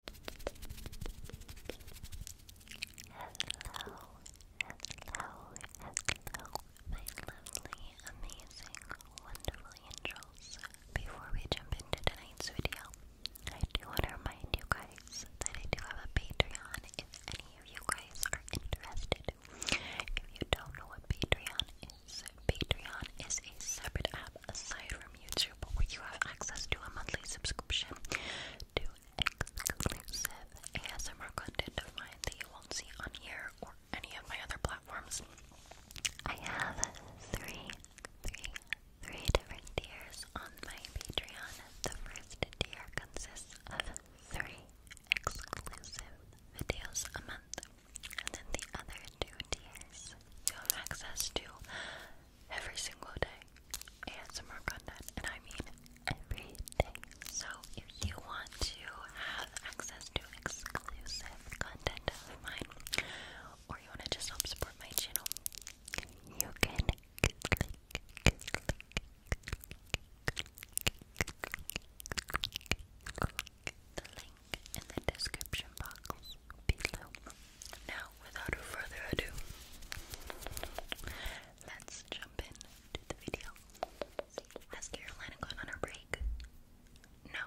Hello, hello, hello, my lovely, amazing, wonderful angels. Before we jump into tonight's video, I do want to remind you guys that I do have a Patreon if any of you guys are interested. If you don't know what Patreon is, Patreon is a separate app aside from YouTube, where you have access to a monthly subscription to exclusive ASMR content that you won't see on here or any of my other platforms. I have three, three, three different tiers on my Patreon. The first tier consists of three exclusive videos a month, and then the other two tiers you have access to every single day ASMR content, and I mean every day. So if you want to have access to exclusive content of mine, or you want to just help support my channel, you can click the link in the description box now, without further ado, let's jump into the video. Has Carolina gone on her break? No.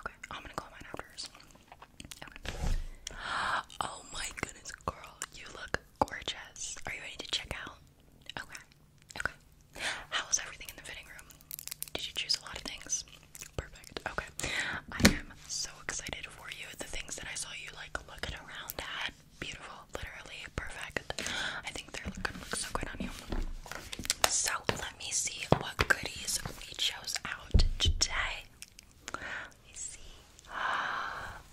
Okay, I'm gonna call mine afterwards. Okay. Oh my goodness, girl, you look gorgeous. Are you ready to check out? Okay. Okay. How was everything in the fitting room? Did you choose a lot of things? Perfect. Okay. I am so excited for you. The things that I saw you like looking around at. Beautiful. Literally perfect. I think they're going look so good on you. So let me see what goodies we chose out today. Let me see.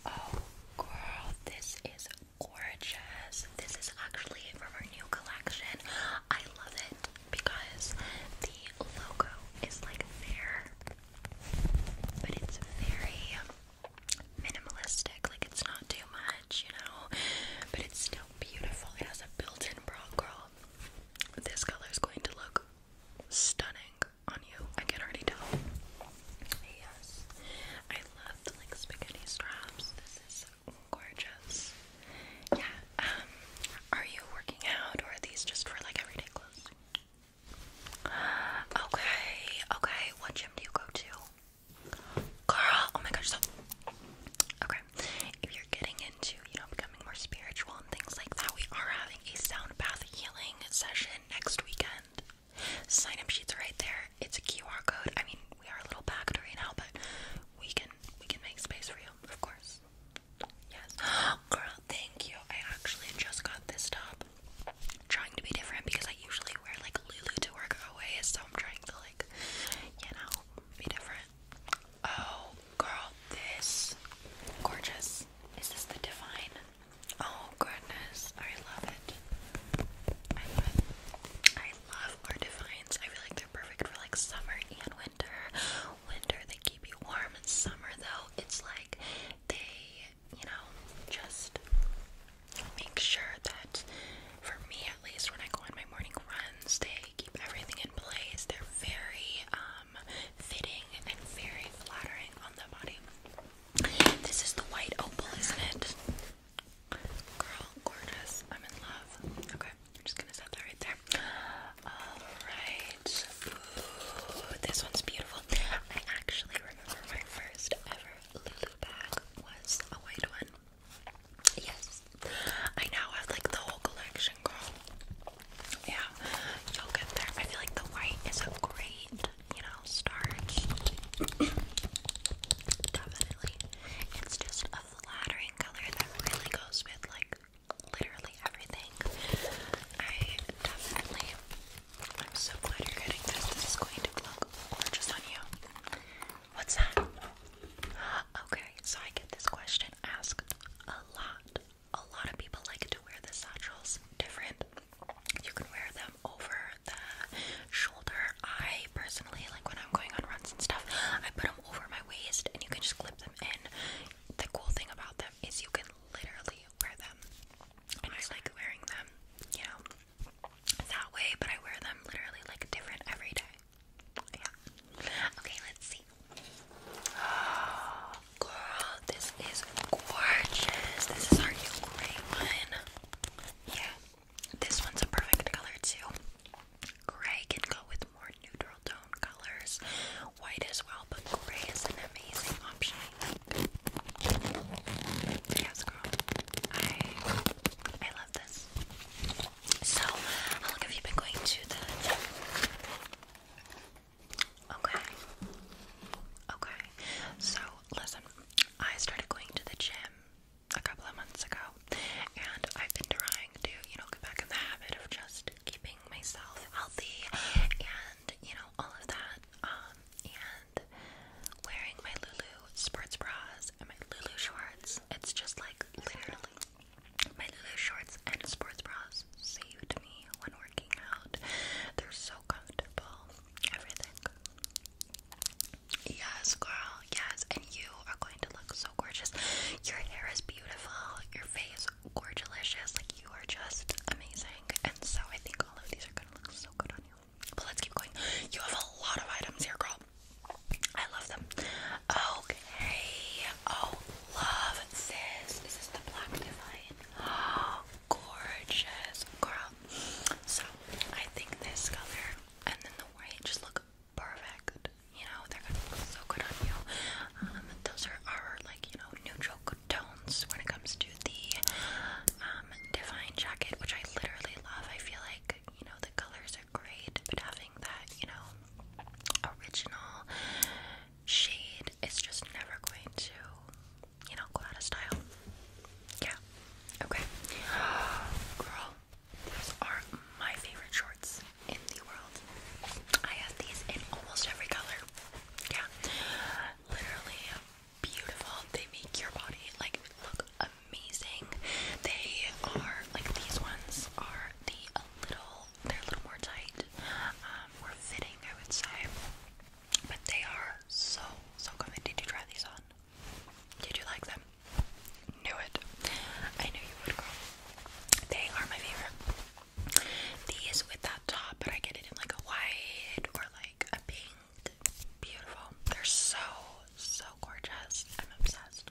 Oh girl, this is gorgeous. This is actually from our new collection. I love it because the logo is like there but it's very minimalistic, like it's not too much, you know. But it's still beautiful. It has a built-in bra curl. This color is going to look stunning on you. I can already tell. Yes, I love the like spaghetti straps. This is gorgeous. Yeah. Um, are you working out, or are these just for like everyday clothes? Okay, okay. What gym do you go to? Girl, oh my gosh, so okay. If you're getting into, you know, becoming more spiritual and things like that, we are having a sound bath healing session next weekend. Sign up sheets right there. It's a QR code. I mean, we are a little packed right now, but we can we can make space for you, of course. Yes. Girl, thank you. I actually just got this top. trying to be different because I usually wear like Lulu to work always, so I'm trying to like, you know, be different. Oh, girl, this gorgeous. Is this the divine? Oh goodness, I love it. I love our divines. I feel like they're perfect for like summer and winter Winter, they keep you warm. In Summer, though, it's like they, you know, just make sure that, for me at least, when I go on my morning runs, they keep everything in place. They're very um, fitting and very flattering on the body. This is the white opal, isn't it? Girl, gorgeous. I'm in love. Okay, I'm just gonna set that right there. Alright. this one's beautiful. I actually remember my first ever Lulu was a white one. Yes. I now have like the whole collection, girl. Yeah, you'll there. I feel like the white is a great, you know, start. Definitely. It's just a flattering color that really goes with like literally everything. I definitely, I'm so glad you're getting this. This is going to look gorgeous on you. What's that? Okay, so I get this question asked a lot. A lot of people like to wear the satchels different. You can wear them over the shoulder. I personally, like when I'm going on runs and stuff, I put them over my waist and you can just clip them in the cool thing about them is you can literally wear them. And I like wearing them, you know, that way, but I wear them literally like different every day. Yeah. Okay, let's see. Oh, girl, this is gorgeous. This is our new gray one. Yeah. This one's a perfect color too. Gray can go with more neutral tone colors. White as well, but gray is an amazing option. Yes, girl. I I love this. So, how long have you been going to the Okay. Okay. So, listen, I started going to the gym a couple of months ago, and I've been trying to, you know, get back in the habit of just keeping myself healthy and you know all of that um and wearing my Lulu sports bras and my Lulu shorts it's just like literally my Lulu shorts and sports bras saved me when working out they're so comfortable everything yes girl yes and you are going to look so gorgeous your hair is beautiful your face gorgeous. Like you are just amazing. And so I think all of these are gonna look so good on you. But let's keep going. You have a lot of items here, girl. I love them. Okay. Oh, love this. This is the black divine. Oh, gorgeous, girl. So I think this color and then the white just look perfect. You know, they're gonna look so good on you. Um, those are our like you know neutral tones when it comes to the um, Divine jacket, which I literally love. I feel like you know the colors are great, but having that you know original shade is just never going to you know go out of style. Yeah. Okay. Girl, these are my favorite shorts in the world. I have these in almost every color. Yeah. Literally beautiful. They make your body like look amazing. They are like these ones are the little they're a little more tight. Um, more fitting I would say. But they are so so comfy. Did you try these on? Did you like them? Knew it. I knew you would go. They are my favorite. These with that top, but I get it in like a white or like a pink. Beautiful. They're so, so gorgeous. I'm obsessed.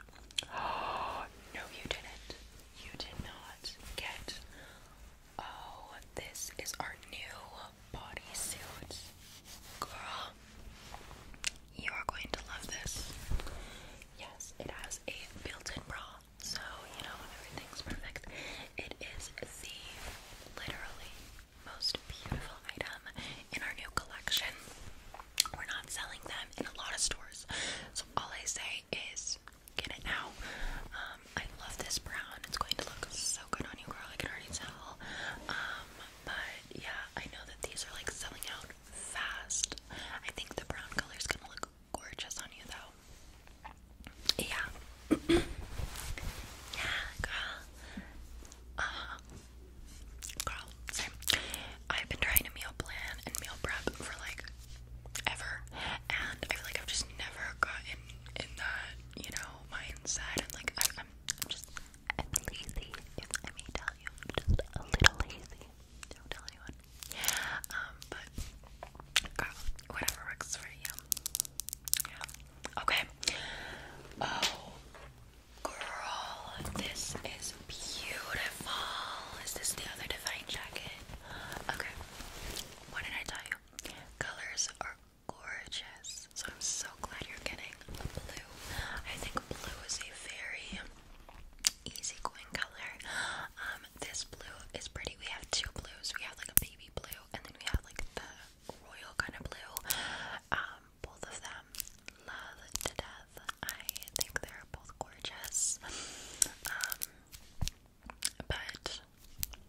Oh, no, you didn't. You did not get. Oh, this is our new bodysuit. Girl, you are going to love this. Yes, it has a built in bra. So, you know, everything's perfect. It is the literally most beautiful item in our new collection. We're not selling them in a lot of stores. So, all I say is get it now. Um, I love this brown. It's going to look so good on you, girl. I can already tell. Um, but yeah, I know that these are like selling out fast. I think the brown color is gonna look gorgeous on you though. Yeah. yeah, girl. Uh-huh. Girl, same. I've been trying to meal plan and meal prep for like ever, and I feel like I've just never gotten in that, you know, mindset. And like, I'm, I'm just, lazy. I may tell you, just a little lazy. Don't tell anyone. Um, but whatever works for you. Yeah. Okay. Oh, girl, this is beautiful. Is this the other Divine jacket? Okay. What did I tell you? Colors are gorgeous. So I'm so glad you're getting a blue. I think blue is a very easygoing color. Um, this blue is pretty. We have two blues. We have like a baby blue, and then we have like the royal kind of blue. Um, both of them love to death. I think they're both gorgeous. Um, but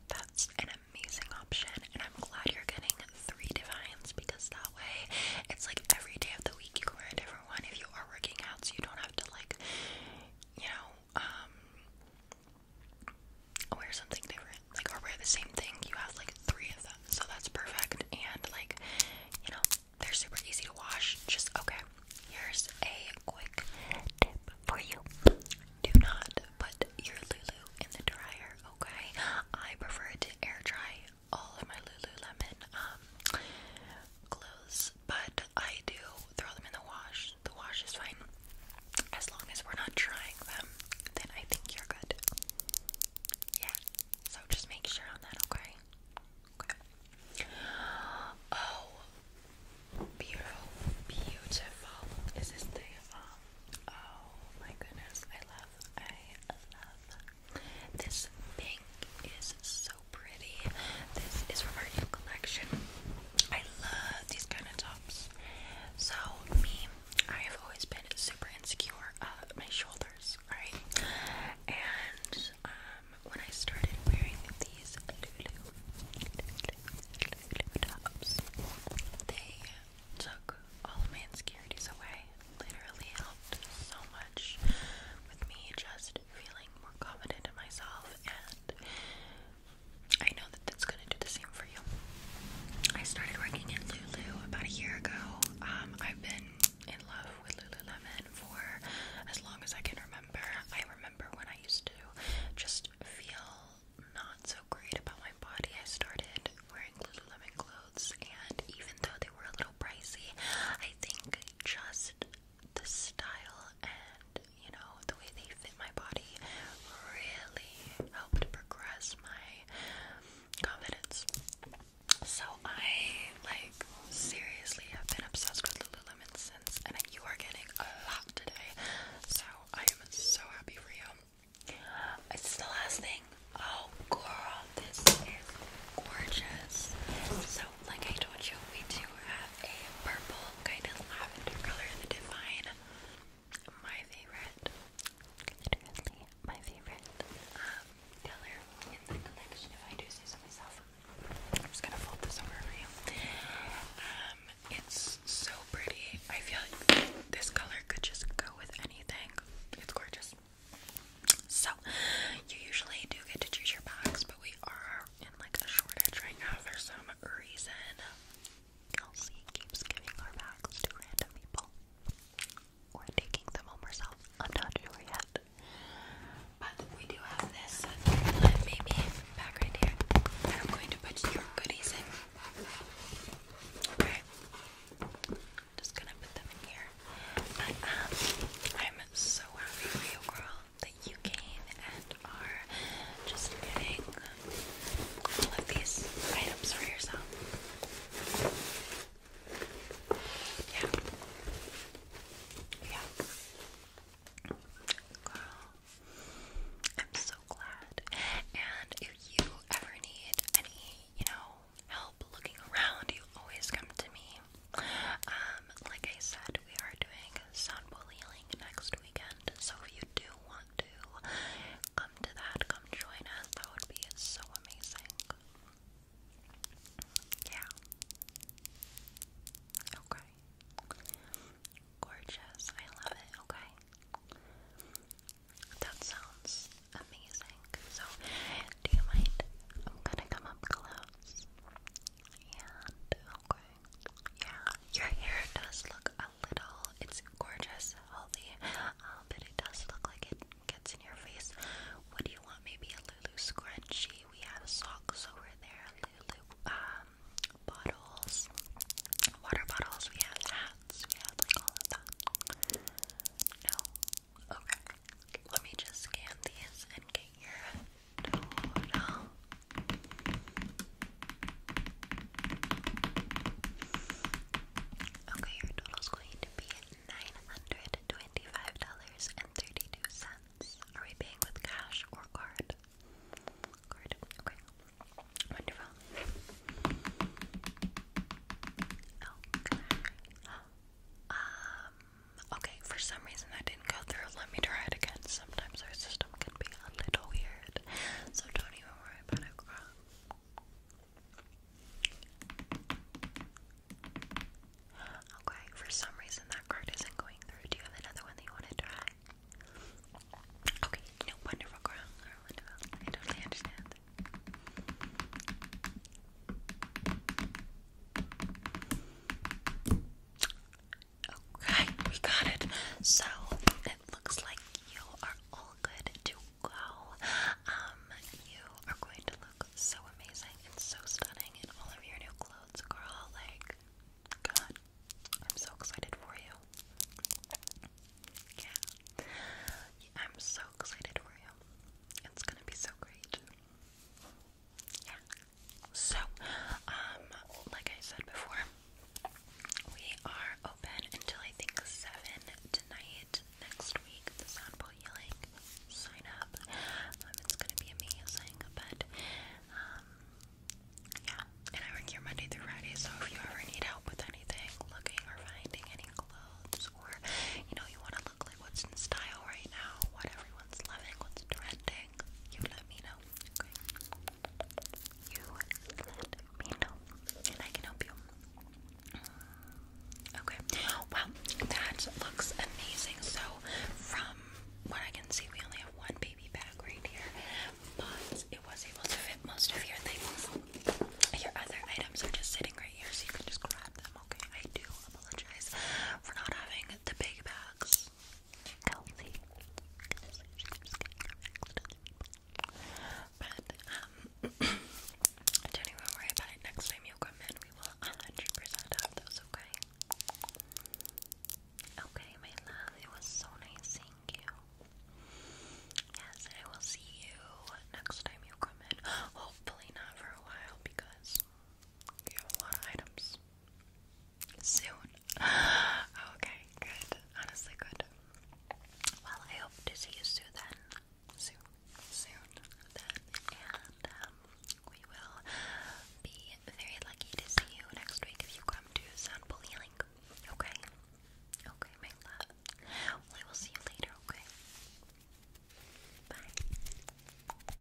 that's an amazing option, and I'm glad you're getting three divines because that way it's like every day of the week you can wear a different one if you are working out, so you don't have to like, you know, um wear something different like or wear the same thing you have like three of them so that's perfect and like you know they're super easy to wash just okay here's a quick tip for you do not put your lulu in the dryer okay I prefer to air dry all of my lululemon um clothes but I do throw them in the wash. The wash is fine. As long as we're not drying them, then I think you're good. Yeah. So just make sure on that, okay? Okay. Oh, beautiful, beautiful. Is this the um, Oh my goodness, I love, I love this pink. Is so so pretty. This is from our new collection. I love these kind of tops. So, me, I have always been super insecure uh my shoulders, right? And um, when I started wearing these Lulu, Lulu, Lulu tops, they took all of my insecurities away. Literally helped so much with me just feeling more confident in myself, and I know that that's gonna do the same for you. I started working at Lulu about a year ago. Um, I've been in love with Lululemon for as long as I can remember. I remember when I used to just feel not so great about my body. I started wearing Lululemon clothes, and even though they were a little pricey, I think just the style and you know the way they fit my body really helped progress my confidence. So I like seriously have been obsessed with Lululemon since, and you are getting a lot today. So I am so happy for you. Is the last thing? Oh, girl, this is gorgeous. So like I told you, we do have a purple kind of lavender color, the Divine. My favorite. Literally my favorite um, color in the collection, if I do say so myself. I'm just gonna fold this over for you. Um, it's so pretty. I feel like this color could just go with anything. It's gorgeous. So, you usually do get to choose your bags, but we are in like a shortage right now for some reason. Kelsey keeps giving our bags to random people or taking them home herself. I'm not sure yet. But we do have this maybe back right here. I'm going to put your goodies in. Okay. Just gonna put them in here. But um I'm so happy for you, girl that you came and are just getting all these items for yourself. Yeah. Yeah. Girl, I'm so glad. And if you ever need any, you know, help looking around, you always come to me. Um, like I said, we are doing soundbowl healing next weekend, so if you do want to come to that, come join us. That would be so amazing. Yeah. Okay. Gorgeous. I love it. Okay. That sounds amazing. So, do you mind? I'm gonna come up close. And okay. Yeah. Your hair does look a little it's gorgeous, healthy, um, but it does look like it gets in your face. What you want? Maybe a Lulu scrunchie. We have socks over there, Lulu um, bottles, water bottles, we have hats, we have all of that. No? Okay. Let me just scan these and get your Okay, your total is going to be $925.32. Are we paying with cash or card? Card, okay. Wonderful. Um, Okay, for some reason that didn't go through. Let me try it again. Sometimes our system can be a little weird, so don't even worry about it, Okay, for some reason that card isn't going through. Do you have another one that you want to try? Okay, wonderful girl. wonderful. I totally understand. Okay, we got it. So it looks like you are all good to go. Um, you are going to look so amazing and so stunning in all of your new clothes, girl. Like, God, I'm so excited for you. Yeah, I'm so excited for you. It's gonna be so great. Yeah. So, um, like I said before, we are open until I think 7 tonight next week. The Soundball like, sign up. Um, it's gonna be amazing, but, um, yeah. And I work here Monday through Friday, so if you ever need help with anything, looking or finding any clothes, or you know, you want to look like what's in style right now, what everyone's loving, what's trending you let me know. Okay? You let me know. And I can help you. Okay. Well, that looks amazing. So from what I can see, we only have one baby bag right here. But it was able to fit most of your things. Your other items are just sitting right here, so you can just grab them, okay? I do apologize for not having the big bags healthy. But um don't even worry about it. Next time you come in, we will 100% have those, okay? Okay, my love, it was so nice seeing you. Yes, I will see you next time you come in. Hopefully not for a while because you have a lot of items soon. okay, good. Honestly, good. Well, I hope to see you soon then. Soon, soon then. And um, we will be very lucky to see you next week if you come to Soundful Healing. Okay? Okay, my love. Well, I will see you later, okay? Bye.